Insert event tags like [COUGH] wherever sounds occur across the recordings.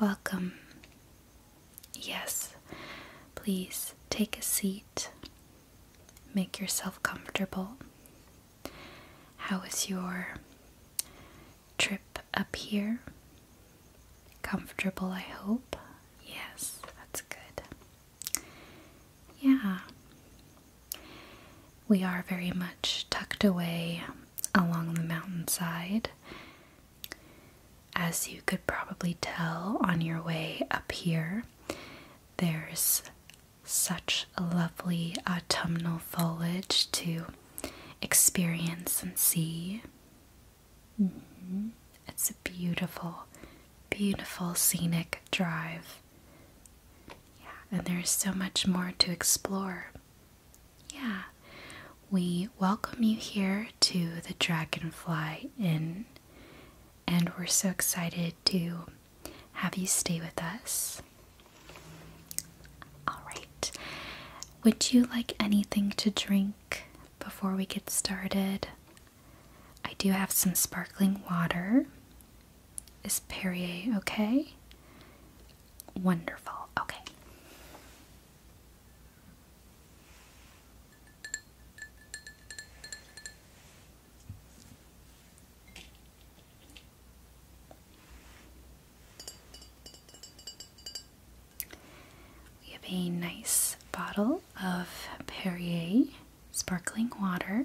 Welcome. Yes, please take a seat. Make yourself comfortable. How was your trip up here? Comfortable, I hope. Yes, that's good. Yeah. We are very much tucked away along the mountainside. As you could probably tell on your way up here, there's such lovely autumnal foliage to experience and see. Mm-hmm. It's a beautiful, beautiful scenic drive yeah, and there is so much more to explore. Yeah, we welcome you here to the Dragonfly Inn, and we're so excited to have you stay with us. Alright, would you like anything to drink before we get started? I do have some sparkling water is Perrier okay? Wonderful. Okay. We have a nice bottle of Perrier sparkling water.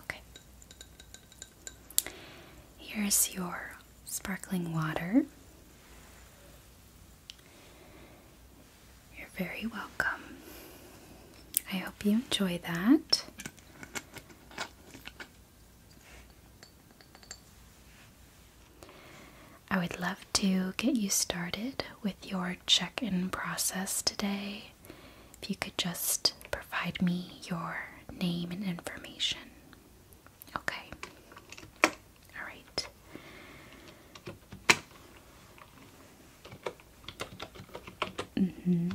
Okay. Here's your sparkling water. You're very welcome. I hope you enjoy that. I would love to get you started with your check in process today if you could just provide me your name and information. Okay. All right. Mm-hmm.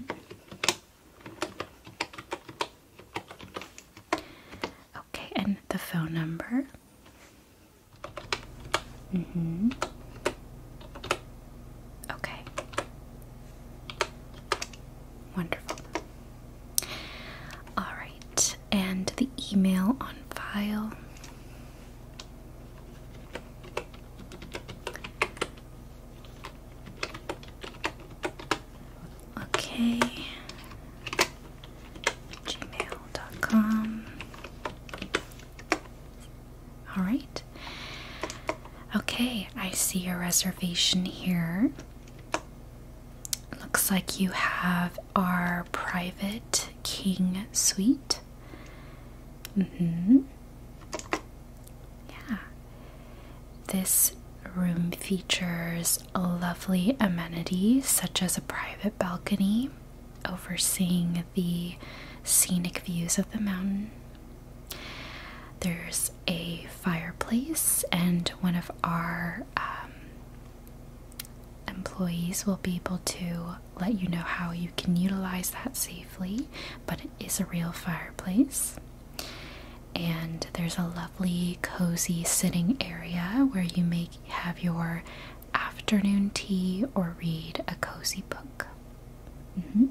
Okay, and the phone number. Mm-hmm. Okay. Wonderful. All right, and the email on file. Okay. Gmail.com. All right. Okay, I see your reservation here. Looks like you have our private king suite. Mm-hmm. Yeah. This room features lovely amenities such as a private balcony overseeing the scenic views of the mountain. There's a fireplace, and one of our um, employees will be able to let you know how you can utilize that safely. But it is a real fireplace, and there's a lovely, cozy sitting area where you may have your afternoon tea or read a cozy book. Mm-hmm.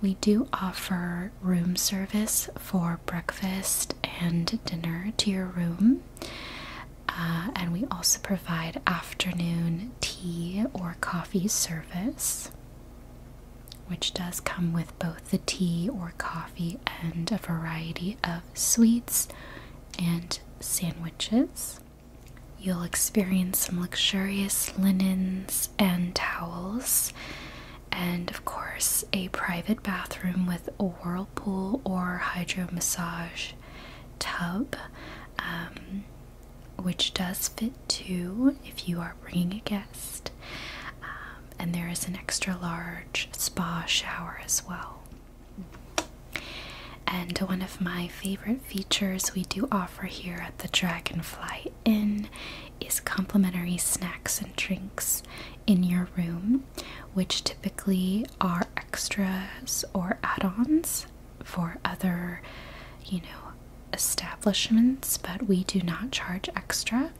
We do offer room service for breakfast and dinner to your room. Uh, and we also provide afternoon tea or coffee service, which does come with both the tea or coffee and a variety of sweets and sandwiches. You'll experience some luxurious linen and towels, and of course, a private bathroom with a whirlpool or hydro massage tub, um, which does fit two if you are bringing a guest. Um, and there is an extra large spa shower as well. And one of my favorite features we do offer here at the Dragonfly in is complimentary snacks and drinks in your room, which typically are extras or add ons for other, you know, establishments, but we do not charge extra.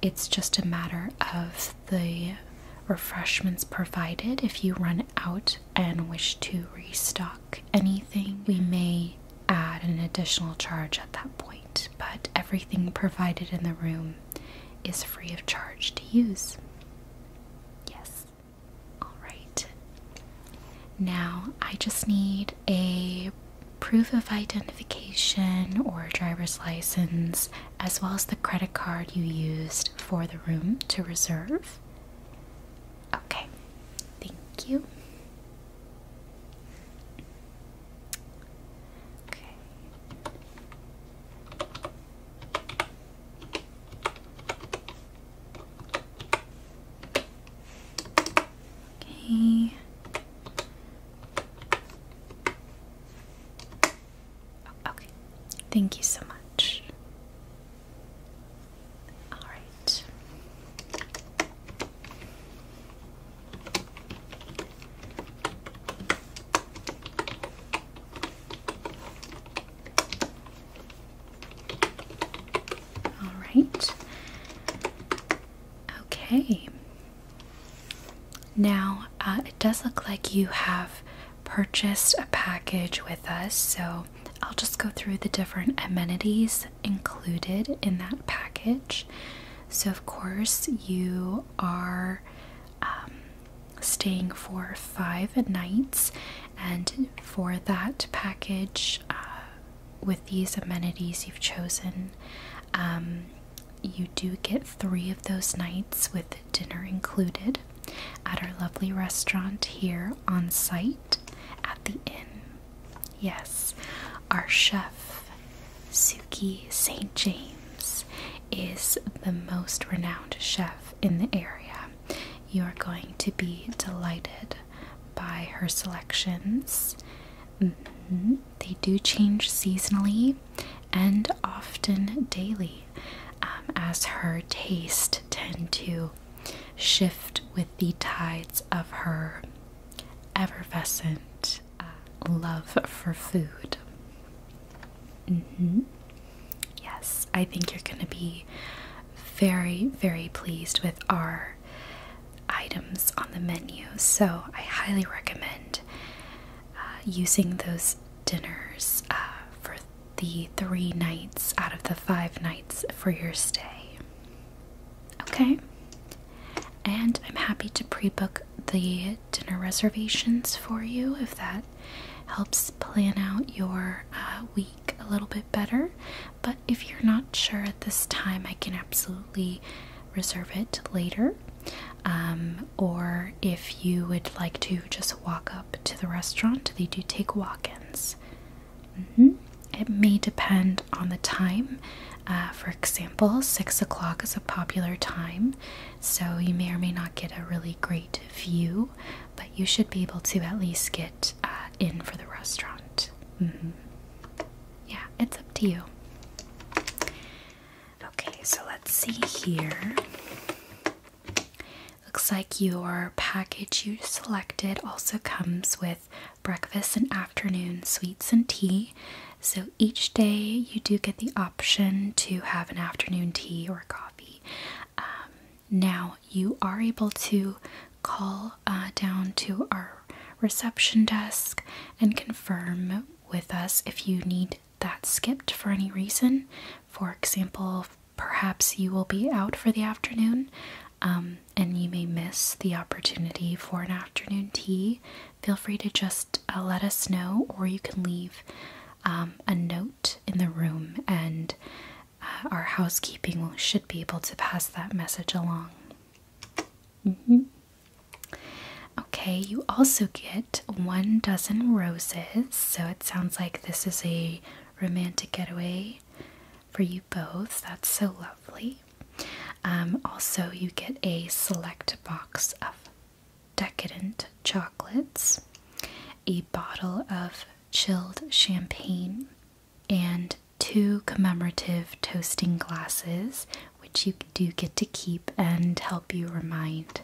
It's just a matter of the refreshments provided if you run out and wish to restock anything, we may add an additional charge at that point, but everything provided in the room is free of charge to use. Yes. All right. Now I just need a proof of identification or driver's license, as well as the credit card you used for the room to reserve. Okay, thank you. Okay. Okay. Okay. Thank you so much. All right. All right. Okay. Now, uh, it does look like you have purchased a package with us, so I'll just go through the different amenities included in that package. So, of course, you are um, staying for five nights, and for that package, uh, with these amenities you've chosen, um, you do get three of those nights with dinner included at our lovely restaurant here on site at the inn. Yes, our chef, Suki St. James, is the most renowned chef in the area. You are going to be delighted by her selections. Mm-hmm. They do change seasonally and often daily, um, as her taste tend to shift with the tides of her effervescent uh, love for food. Mm-hmm. Yes, I think you're going to be very, very pleased with our items on the menu. So I highly recommend uh, using those dinners uh, for the three nights out of the five nights for your stay. Okay. And I'm happy to pre book the dinner reservations for you if that helps plan out your uh, week a little bit better. But if you're not sure at this time, I can absolutely reserve it later. Um, or if you would like to just walk up to the restaurant, they do take walk ins. Mm-hmm. It may depend on the time. Uh, for example, six o'clock is a popular time, so you may or may not get a really great view, but you should be able to at least get uh, in for the restaurant. Mm-hmm. Yeah, it's up to you. Okay, so let's see here. Looks like your package you selected also comes with breakfast and afternoon sweets and tea. So each day you do get the option to have an afternoon tea or coffee. Um, now you are able to call uh, down to our reception desk and confirm with us if you need that skipped for any reason. For example, perhaps you will be out for the afternoon um, and you may miss the opportunity for an afternoon tea, feel free to just uh, let us know, or you can leave um, a note in the room, and uh, our housekeeping should be able to pass that message along. Mm-hmm. Okay, you also get one dozen roses, so it sounds like this is a romantic getaway for you both. That's so lovely. Um, also, you get a select box of decadent chocolates, a bottle of chilled champagne, and two commemorative toasting glasses, which you do get to keep and help you remind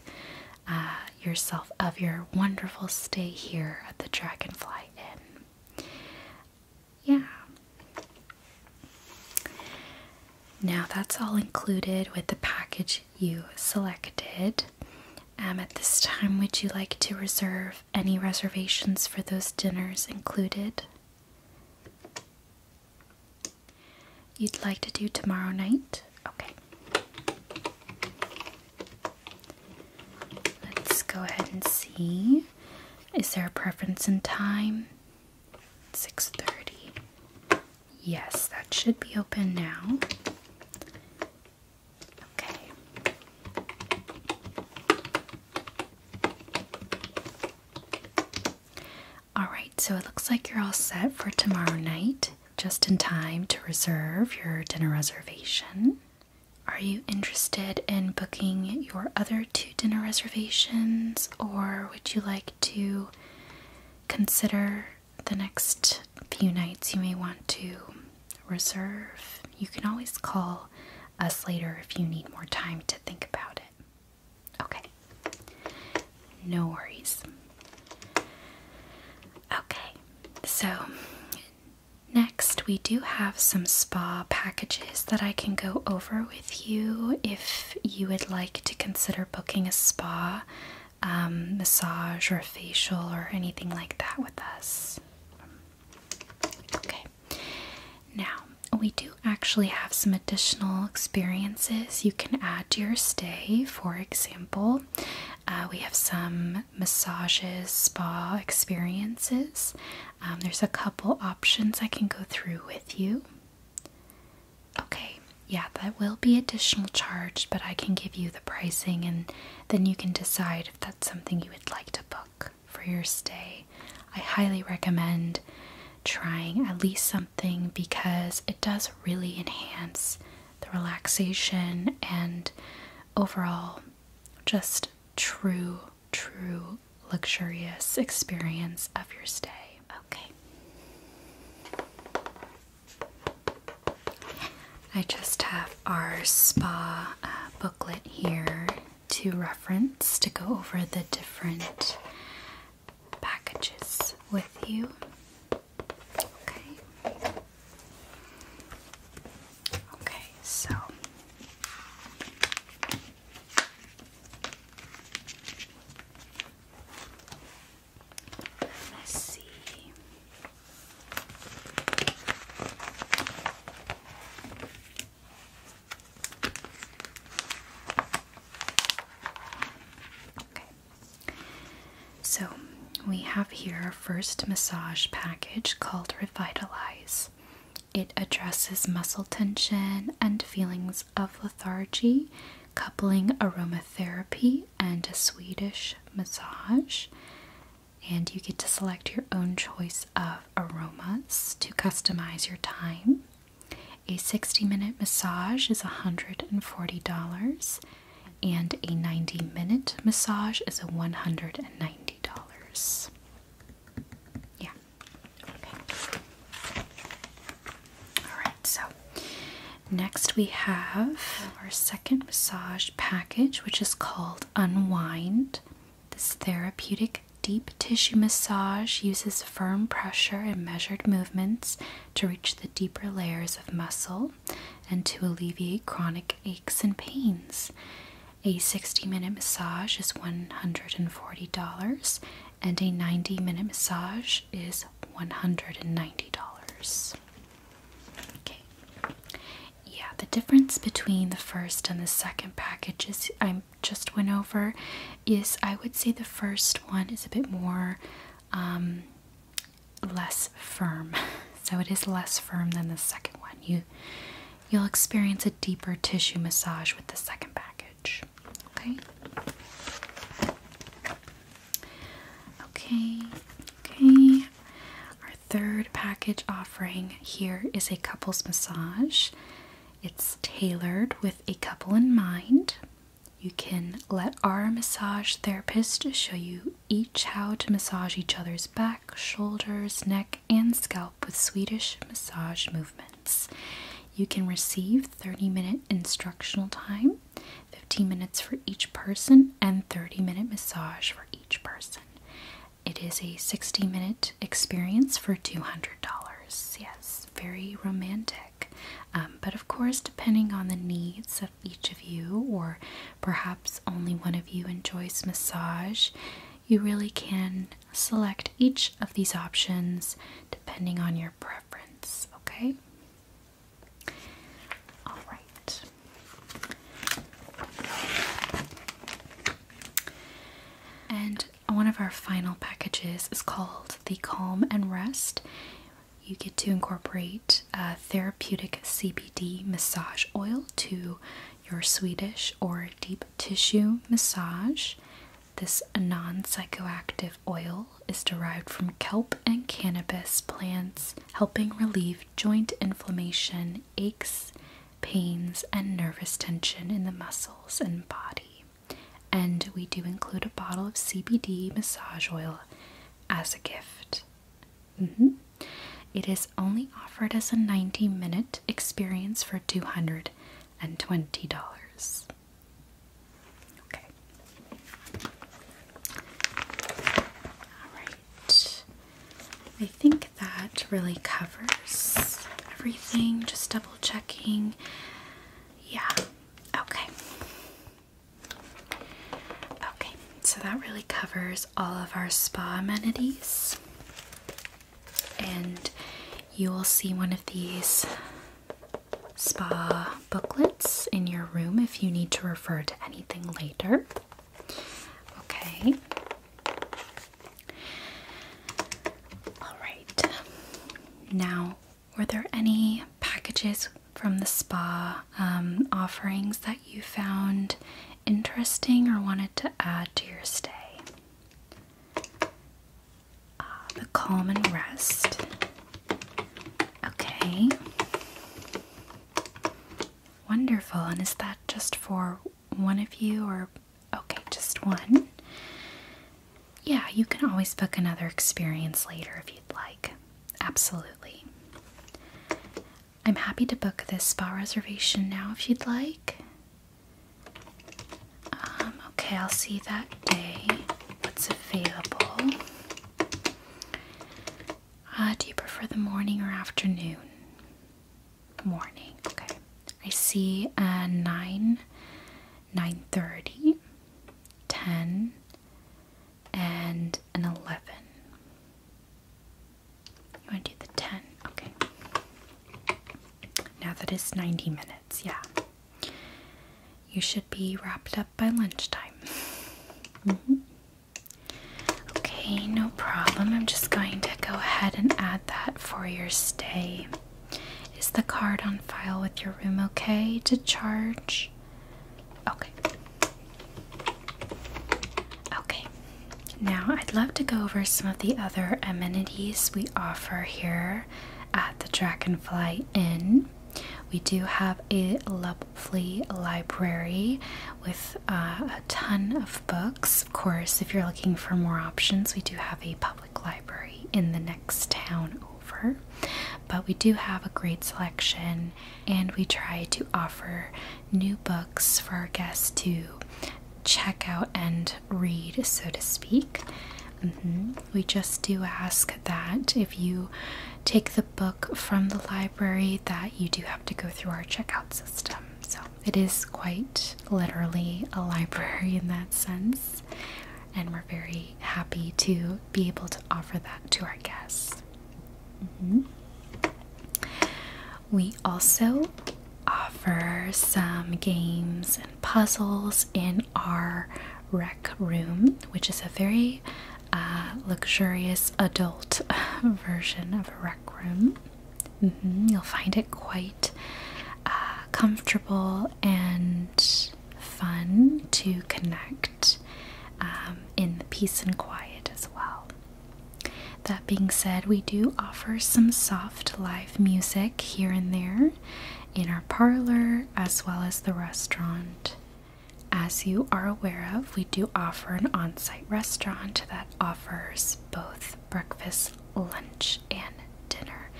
uh, yourself of your wonderful stay here at the Dragonfly Inn yeah. Now that's all included with the package you selected. Um, at this time, would you like to reserve any reservations for those dinners included? You'd like to do tomorrow night? Okay. Let's go ahead and see. Is there a preference in time? 6:30. Yes, that should be open now. Okay. All right, so it looks like you're all set for tomorrow night, just in time to reserve your dinner reservation. Are you interested in booking your other two dinner reservations, or would you like to consider the next few nights you may want to reserve? You can always call us later if you need more time to think about it. Okay, no worries. Okay, so next we do have some spa packages that I can go over with you if you would like to consider booking a spa, um, massage, or facial, or anything like that with us. Okay, now we do actually have some additional experiences you can add to your stay. For example, uh, we have some massages, spa experiences um, there's a couple options I can go through with you. Okay, yeah, that will be additional charge, but I can give you the pricing and then you can decide if that's something you would like to book for your stay. I highly recommend trying at least something because it does really enhance the relaxation and overall just true true, luxurious experience of your stay. Okay. I just have our spa uh, booklet here to reference to go over the different packages with you. Okay. Okay, so Let's see. Okay. So we have here our first massage package called Revitalize. It addresses muscle tension and feelings of lethargy, coupling aromatherapy and a Swedish massage. And you get to select your own choice of aromas to customize your time. A 60 minute massage is $140, and a 90 minute massage is $190. Yeah. Okay. All right. So next we have our second massage package, which is called Unwind. This therapeutic deep tissue massage uses firm pressure and measured movements to reach the deeper layers of muscle and to alleviate chronic aches and pains. A 60 minute massage is $140 and a 90 minute massage is $190. Okay. Yeah, the difference between the first and the second packages I just went over is I would say the first one is a bit more um, less firm. [LAUGHS] So it is less firm than the second one. You You'll experience a deeper tissue massage with the second package. Okay? Okay, okay. Our third package offering here is a couples massage. It's tailored with a couple in mind. You can let our massage therapist show you each how to massage each other's back, shoulders, neck, and scalp with Swedish massage movements. You can receive 30 minute instructional time, 15 minutes for each person, and 30 minute massage for each person. It is a 60 minute experience for $200. Yes, very romantic. Um, but of course, depending on the needs of each of you, or perhaps only one of you enjoys massage, you really can select each of these options depending on your preference, okay? All right. And one of our final packages is called the Calm and Rest. You get to incorporate uh, therapeutic CBD massage oil to your Swedish or deep tissue massage this non psychoactive oil is derived from kelp and cannabis plants, helping relieve joint inflammation, aches, pains, and nervous tension in the muscles and body. And we do include a bottle of CBD massage oil as a gift. Mm-hmm. It is only offered as a 90 minute experience for 200 and twenty dollars. Okay. Alright. I think that really covers everything. Just double checking. Yeah. Okay. Okay, so that really covers all of our spa amenities and you will see one of these spa booklets in your room if you need to refer to anything later. Okay. All right. Now, were there any packages from the spa um, offerings that you found interesting or wanted to add to your stay? Ah, the calm and rest. Okay. Wonderful. And is that just for one of you or okay, just one? Yeah, you can always book another experience later if you'd like. Absolutely. I'm happy to book this spa reservation now if you'd like. Um, okay, I'll see that day what's available. Uh, do you prefer the morning or afternoon? Morning, okay. I see a uh, 9, 9.30, 10, and an 11. You want to do the 10? Okay. Now that it's 90 minutes, yeah. You should be wrapped up by lunchtime. Mm-hmm. Okay, no problem. I'm just going to go ahead and add that for your stay. Is the card on file with your room okay to charge? Okay. Okay. Now I'd love to go over some of the other amenities we offer here at the Dragonfly Inn. We do have a lovely library with uh, a ton of books. Of course, if you're looking for more options, we do have a public library in the next town over. But we do have a great selection, and we try to offer new books for our guests to check out and read, so to speak. Mm-hmm. We just do ask that if you take the book from the library, that you do have to go through our checkout system. So it is quite literally a library in that sense, and we're very happy to be able to offer that to our guests. Mm-hmm. We also offer some games and puzzles in our rec room, which is a very uh, luxurious adult [LAUGHS] version of a rec room. Mm-hmm. You'll find it quite uh, comfortable and fun to connect um, in the peace and quiet as well. That being said, we do offer some soft live music here and there in our parlor as well as the restaurant. As you are aware of, we do offer an on site restaurant that offers both breakfast, lunch, and dinner,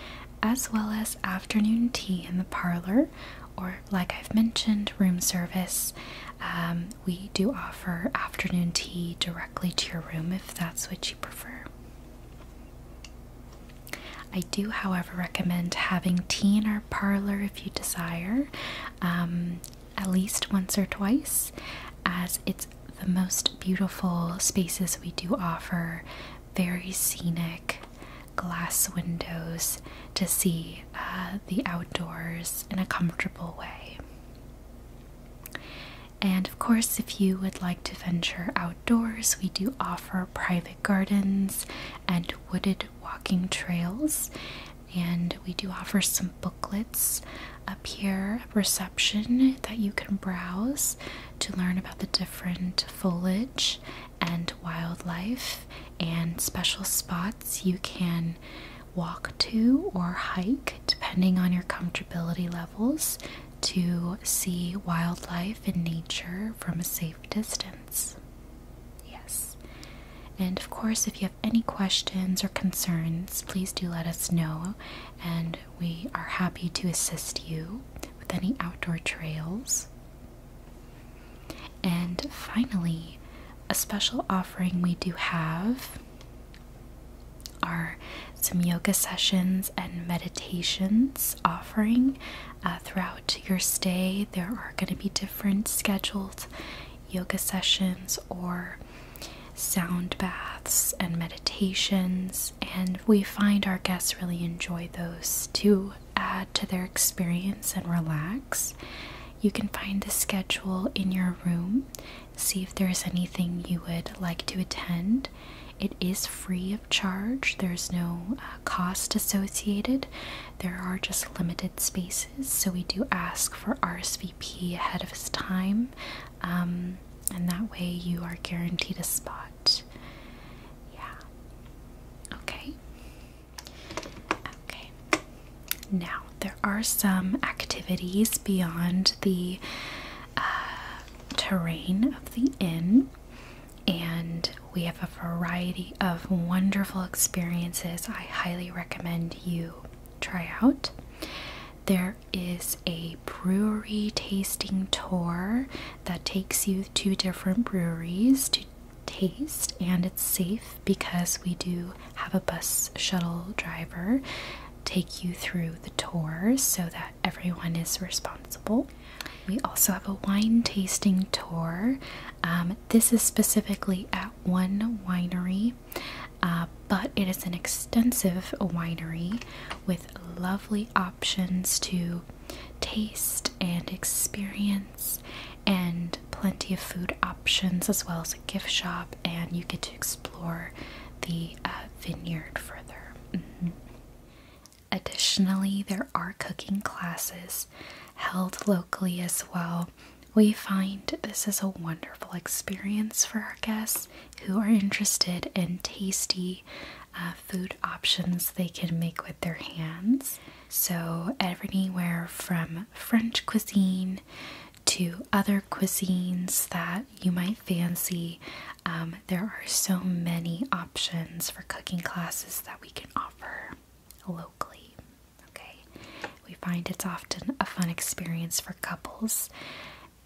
as well as afternoon tea in the parlor, or like I've mentioned, room service. Um, we do offer afternoon tea directly to your room if that's what you prefer. I do, however, recommend having tea in our parlor if you desire, um, at least once or twice, as it's the most beautiful spaces we do offer. Very scenic glass windows to see uh, the outdoors in a comfortable way. And of course, if you would like to venture outdoors, we do offer private gardens and wooded walking trails. And we do offer some booklets up here at reception that you can browse to learn about the different foliage and wildlife and special spots you can walk to or hike depending on your comfortability levels to see wildlife and nature from a safe distance. Yes. And of course, if you have any questions or concerns, please do let us know, and we are happy to assist you with any outdoor trails. And finally, a special offering we do have are some yoga sessions and meditations offering uh, throughout your stay. There are going to be different scheduled yoga sessions or sound baths and meditations, and we find our guests really enjoy those to add to their experience and relax. You can find the schedule in your room, see if there's anything you would like to attend, it is free of charge, there's no uh, cost associated. There are just limited spaces, so we do ask for RSVP ahead of time, um, and that way you are guaranteed a spot. Yeah. Okay. Okay. Now, there are some activities beyond the uh, terrain of the inn and we have a variety of wonderful experiences I highly recommend you try out. There is a brewery tasting tour that takes you to different breweries to taste, and it's safe because we do have a bus shuttle driver take you through the tour so that everyone is responsible. We also have a wine tasting tour. Um, this is specifically at one winery, uh, but it is an extensive winery with lovely options to taste and experience, and plenty of food options as well as a gift shop, and you get to explore the uh, vineyard further. Mm-hmm. Additionally, there are cooking classes held locally as well. We find this is a wonderful experience for our guests who are interested in tasty uh, food options they can make with their hands. So, anywhere from French cuisine to other cuisines that you might fancy, um, there are so many options for cooking classes that we can offer locally. Okay, we find it's often a fun experience for couples,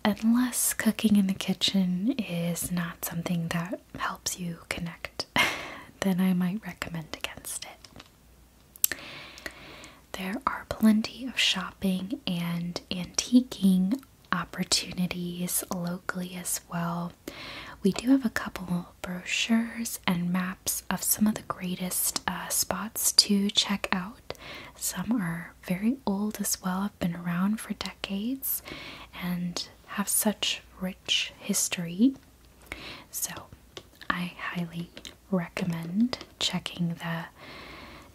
unless cooking in the kitchen is not something that helps you connect, [LAUGHS] then I might recommend against it. There are plenty of shopping and antiquing opportunities locally as well. We do have a couple brochures and maps of some of the greatest uh, spots to check out. Some are very old as well, have been around for decades, and have such rich history. So, I highly recommend checking the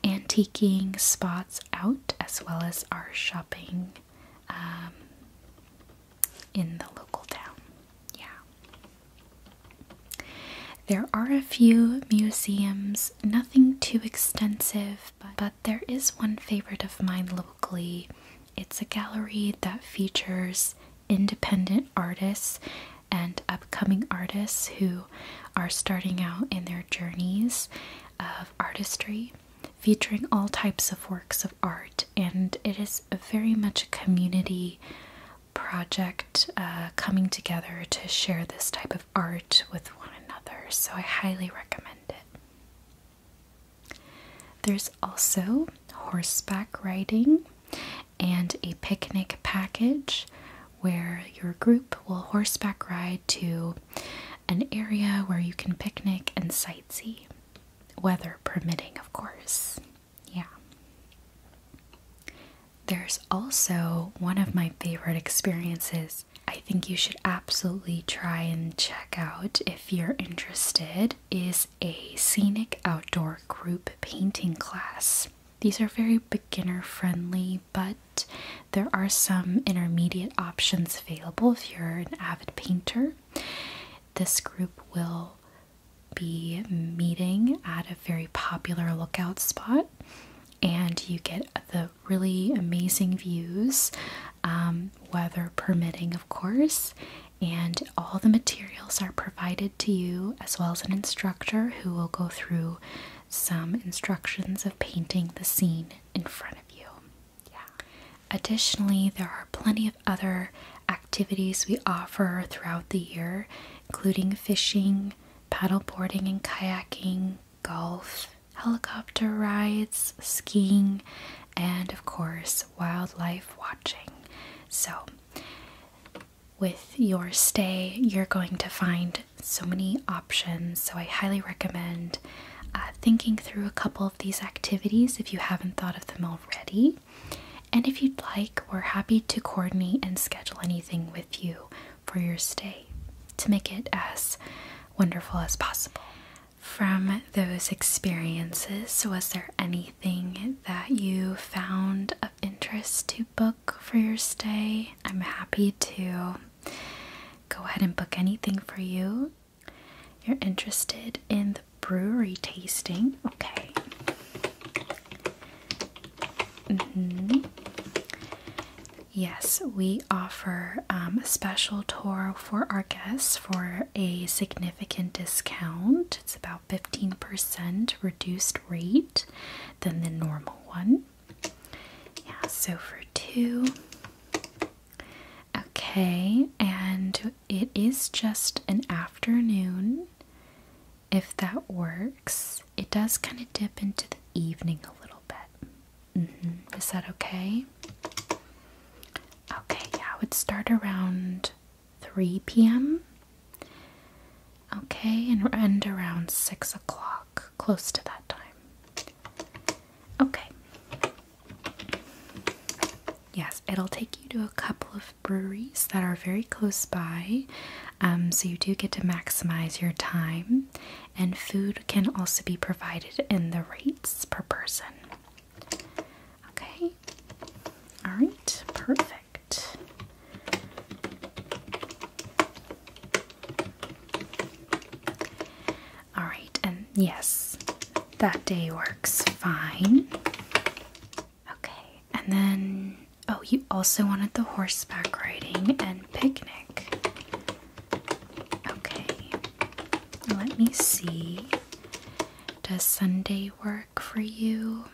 antiquing spots out as well as our shopping um, in the local town. Yeah. There are a few museums, nothing too extensive, but there is one favorite of mine locally. It's a gallery that features independent artists and upcoming artists who are starting out in their journeys of artistry featuring all types of works of art, and it is very much a community project uh, coming together to share this type of art with one another. So, I highly recommend it. There's also horseback riding and a picnic package where your group will horseback ride to an area where you can picnic and sightsee, weather permitting, of course. Yeah. There's also one of my favorite experiences I think you should absolutely try and check out if you're interested is a scenic outdoor group painting class. These are very beginner friendly, but there are some intermediate options available if you're an avid painter. This group will be meeting at a very popular lookout spot, and you get the really amazing views, um, weather permitting, of course. And all the materials are provided to you, as well as an instructor who will go through some instructions of painting the scene in front of you. Additionally, there are plenty of other activities we offer throughout the year, including fishing, paddleboarding and kayaking, golf, helicopter rides, skiing, and of course, wildlife watching. So, with your stay, you're going to find so many options. So, I highly recommend uh, thinking through a couple these activities if you haven't thought of them already. And if you'd like, we're happy to coordinate and schedule anything with you for your stay to make it as wonderful as possible. From those experiences, was there anything that you found of interest to book for your stay? I'm happy to go ahead and book anything for you. You're interested in the brewery tasting. Okay. Mm-hmm. Yes, we offer um, a special tour for our guests for a significant discount. It's about 15% reduced rate than the normal one. Yeah, so for two, Okay, and it is just an afternoon, if that works. It does kind of dip into the evening a little bit. Mm-hmm. Is that okay? Okay, I would start around 3 p.m. Okay, and end around 6 o'clock, close to that time. Okay. Yes, it'll take you to a couple of breweries that are very close by, um, so you do get to maximize your time, and food can also be provided in the rates per person. Okay, all right, perfect. All right, and yes, that day works fine. Okay, and then oh, you also wanted the horseback riding and picnic. Okay, let me see. Does Sunday work for you?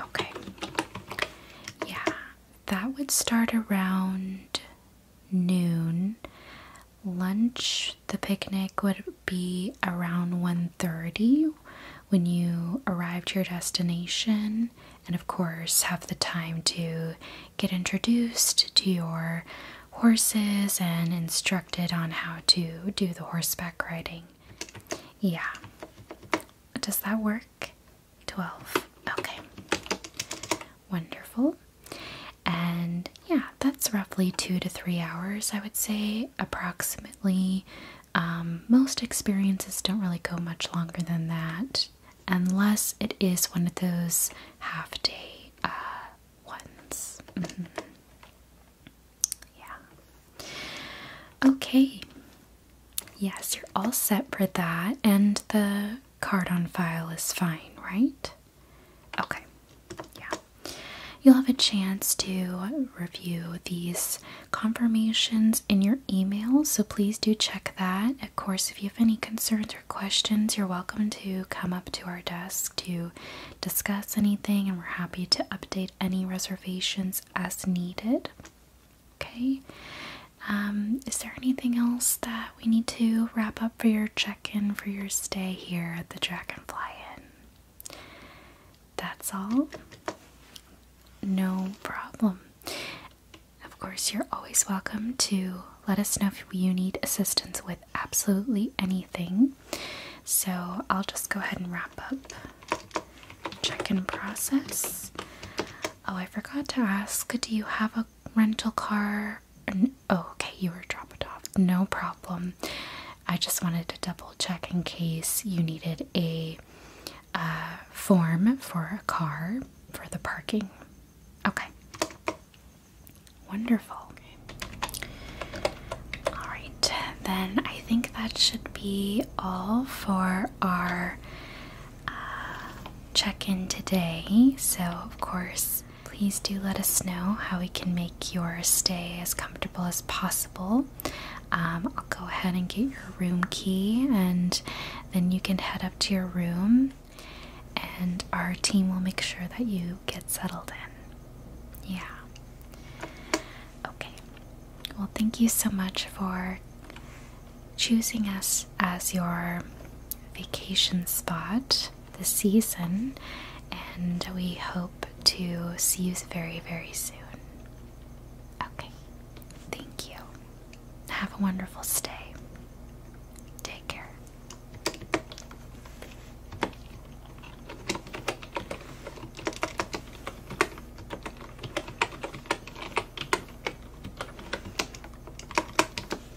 Okay, yeah, that would start around noon. Lunch, the picnic would be around 1:30 when you arrive to your destination and of course have the time to get introduced to your horses and instructed on how to do the horseback riding. Yeah. Does that work? 12. Okay wonderful. And yeah, that's roughly two to three hours, I would say, approximately. Um, most experiences don't really go much longer than that, unless it is one of those half day uh, ones. Mm-hmm. Yeah. Okay. Yes, you're all set for that, and the card on file is fine, right? Okay, yeah. You'll have a chance to review these confirmations in your email, so please do check that. Of course, if you have any concerns or questions, you're welcome to come up to our desk to discuss anything, and we're happy to update any reservations as needed. Okay, um, is there anything else that we need to wrap up for your check in for your stay here at the Dragonfly Inn. That's all. No problem. Of course, you're always welcome to let us know if you need assistance with absolutely anything. So I'll just go ahead and wrap up check in process. Oh, I forgot to ask do you have a rental car okay, you were dropped off. No problem. I just wanted to double check in case you needed a uh, form for a car for the parking. Okay. Wonderful. All right, then I think that should be all for our uh, check in today. So, of course, Please do let us know how we can make your stay as comfortable as possible. Um, I'll go ahead and get your room key, and then you can head up to your room, and our team will make sure that you get settled in. Yeah. Okay. Well, thank you so much for choosing us as your vacation spot. The season, and we hope to see you very, very soon. Okay, thank you. Have a wonderful stay. Take care.